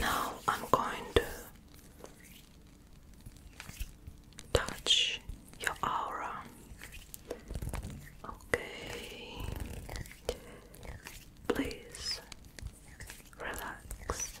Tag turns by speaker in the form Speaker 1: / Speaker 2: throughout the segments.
Speaker 1: Now I'm going to touch your aura. Okay, please relax.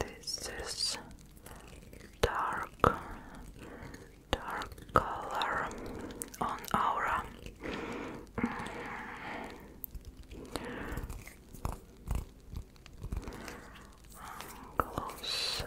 Speaker 1: This is dark, dark color on aura. Mm. Closer.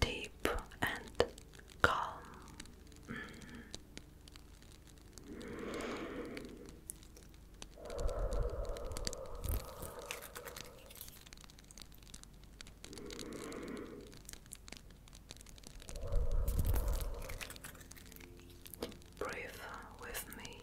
Speaker 1: deep and calm. Breathe with me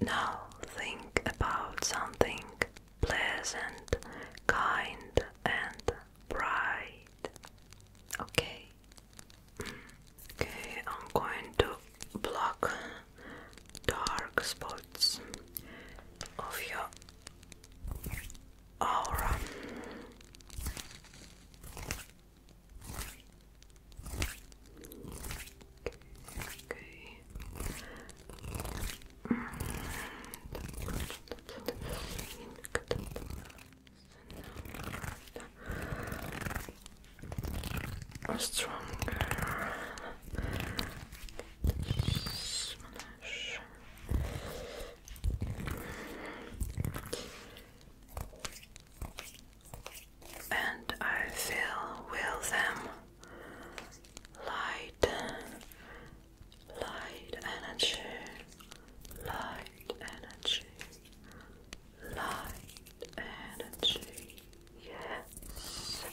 Speaker 1: Now think about something pleasant, kind, and bright. Okay. Okay, I'm going to block dark spots of your aura. Okay. Stronger and I fill with them light, light energy, light energy, light energy. Yes.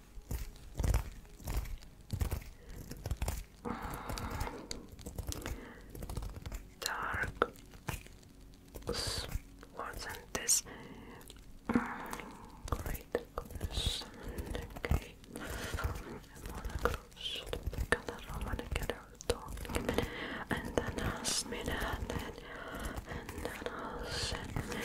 Speaker 1: dark words and this mm, great colors and okay and then I'll smell it and then I'll send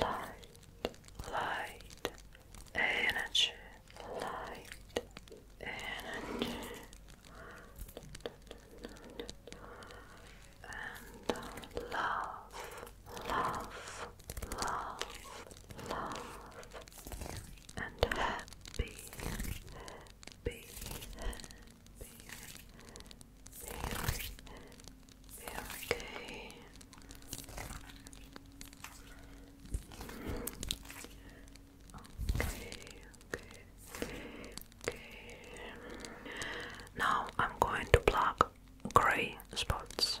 Speaker 1: light, light, energy, light, energy, and uh, love, love, love, love, and happy, happy, very, very gay. Okay, okay, okay. Now I'm going to plug grey spots.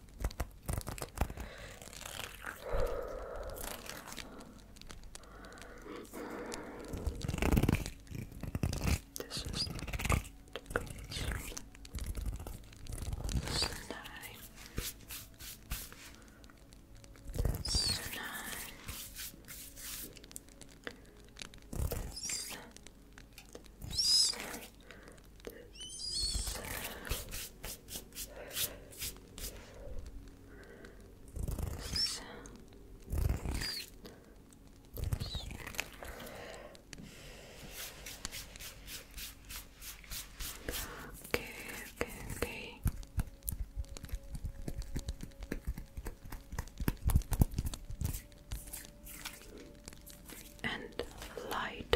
Speaker 1: This is the This nine. This nine. This. This this. This. Okay, okay, okay. And light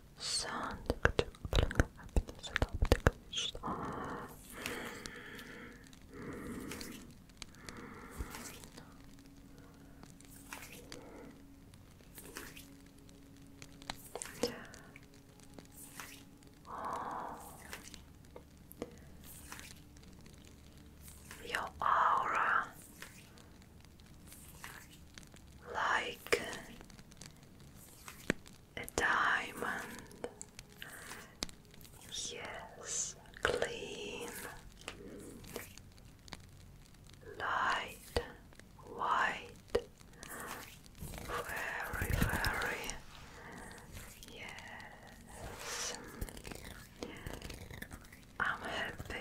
Speaker 1: sandıkçı fırına hepinizi Your aura like a diamond. Yes, clean, light, white, very, very, yes, I'm happy.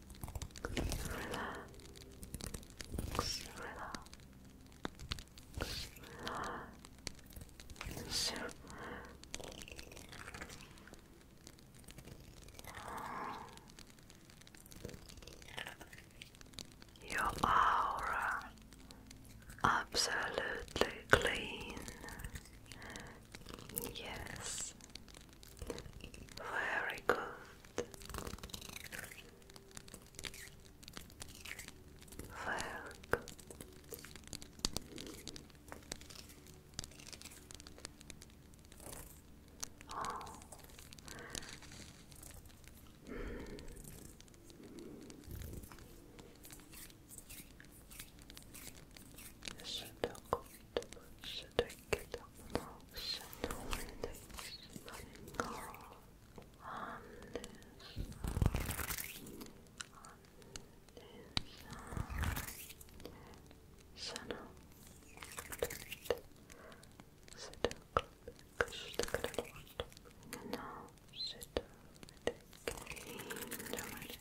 Speaker 1: relax, relax, relax. Your aura absolutely clean. Yes, very good. Very good. Oh. Mm. Should I go Get up close and hold it girl on this side, on this side. So now, sit up, sit up, sit up, and now sit up, sit up, sit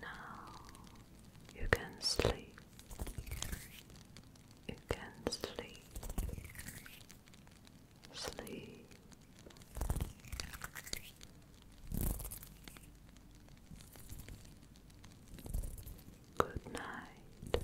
Speaker 1: Now you can sleep. You can sleep. Sleep. Good night.